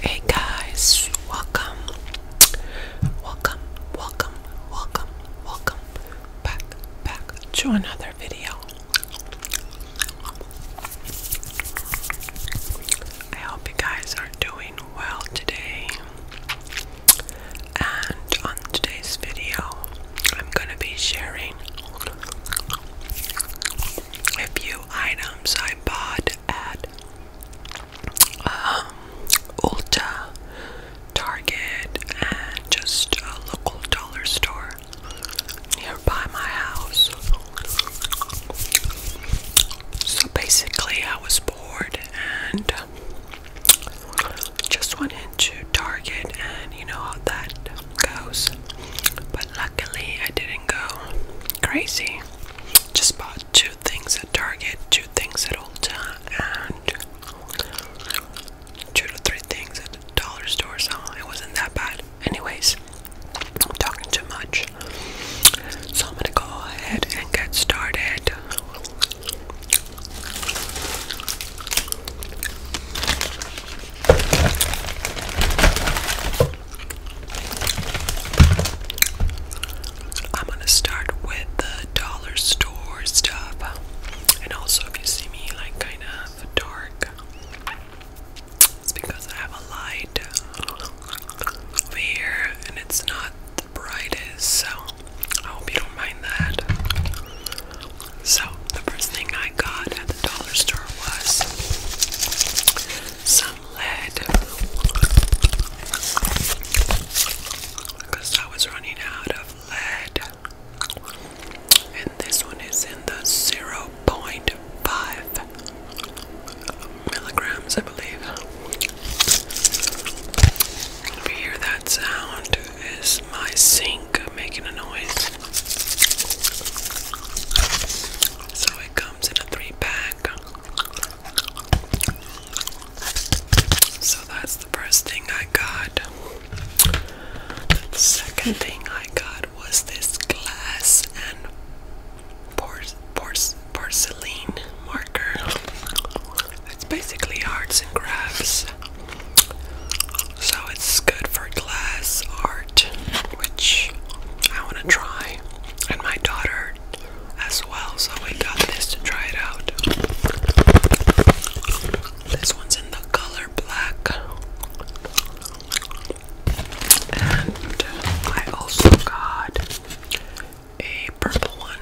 Hey guys, welcome, welcome, welcome, welcome, welcome back, back to another video. I hope you guys are doing well today. And on today's video, I'm going to be sharing a few items I bought at um, Ulta, Target, and just a local dollar store nearby my house. So basically, I was bored and just went into Target and you know how that goes. But luckily, I didn't go crazy. Just bought two things at Target, two things at Ulta, and two to three things at the dollar store, so it wasn't that bad. Anyways, I'm talking too much. So I'm gonna go ahead and get started. I'm gonna start with the dollar store stuff, and also if you see me like kind of dark, it's because I have a light over here, and it's not the bride is, so I hope you don't mind that. So, the first thing I got at the dollar store was some lead because I was running out of lead. And this one is in the 0.5 milligrams, I believe. If you hear that sound, is my sink making a noise? So it comes in a three pack. So that's the first thing I got. The second thing I got was this glass and por por porcelain marker. It's basically arts and crafts. So it's good for glass art, which I want to try, and my daughter as well. So we got this to try it out. This one's in the color black, and I also got a purple one.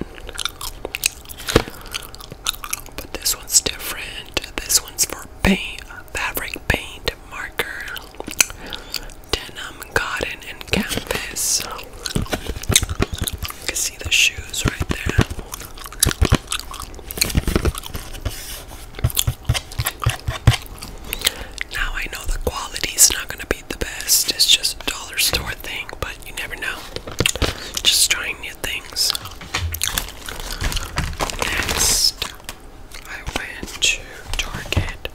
But this one's different. This one's for paint, fabric paint, marker, denim, cotton, and canvas. You can see the shoes right there. Now I know the quality is not gonna be the best, it's just a dollar store thing, but you never know. Just trying new things. Next, I went to Target.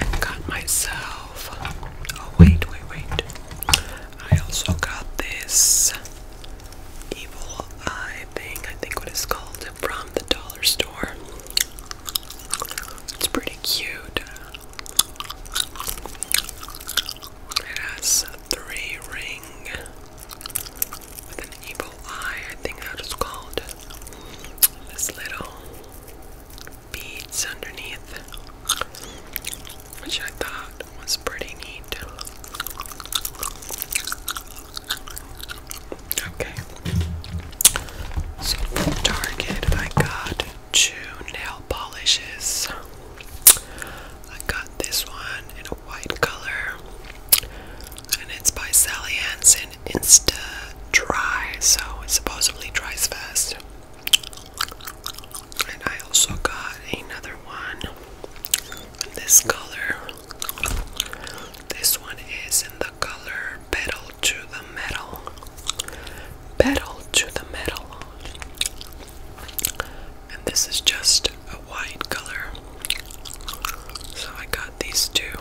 And got myself. Oh, wait, wait, wait. I also got this evil eye thing. I think what it's called from the dollar store. It's pretty cute. It has a three ring with an evil eye, I think that is called. This little beads underneath, which I thought was pretty neat. Okay. So from Target, I got two nail polishes. I got this one in a white color, and it's by Sally Hansen Insta Dry, so it supposedly dries fast. And I also got another one in this color. This one is in the color Petal to the Metal. Petal to the Metal. And this is just a white color. So I got these two.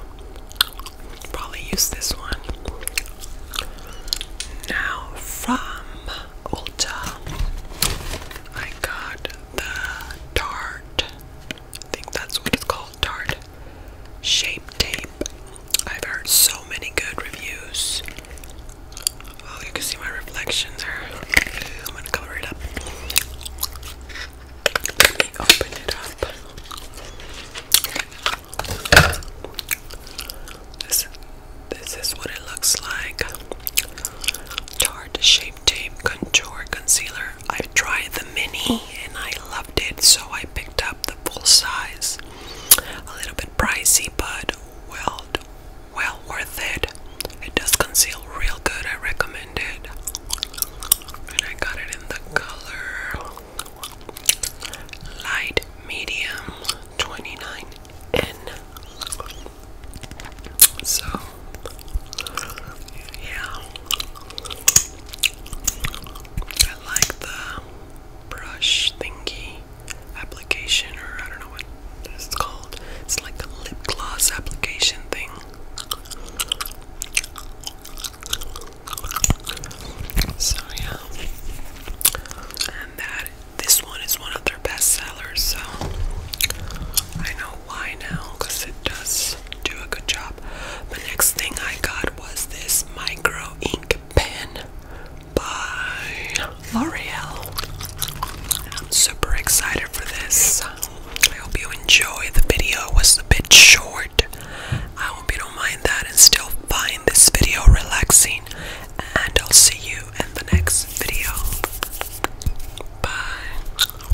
Probably use this one. Now from Ulta, I got the Tarte. I think that's what it's called call Shape Tape. I've heard so many good reviews. Well, oh, you can see my reflection there. I'm gonna cover it up. Let me open it up. This, this is what it looks like. Tarte Shape Tape Contour Concealer I tried the mini and I loved it, so I picked up the full size. A little bit pricey, but well, well worth it. It does conceal real good. I recommend it. And I got it in the color light medium 29N. So yeah. I like the brush thingy application, or I don't know what it's called. It's like the lip gloss application thing. So, yeah. And that this one is one of their best so I know why now because it does do a good job. The next thing I got was this micro ink pen by L'Oreal. I'm super excited for this. I hope you enjoy. The video was a bit short. I hope you don't mind that and still find this video relaxing. And I'll see you in the next video. Bye.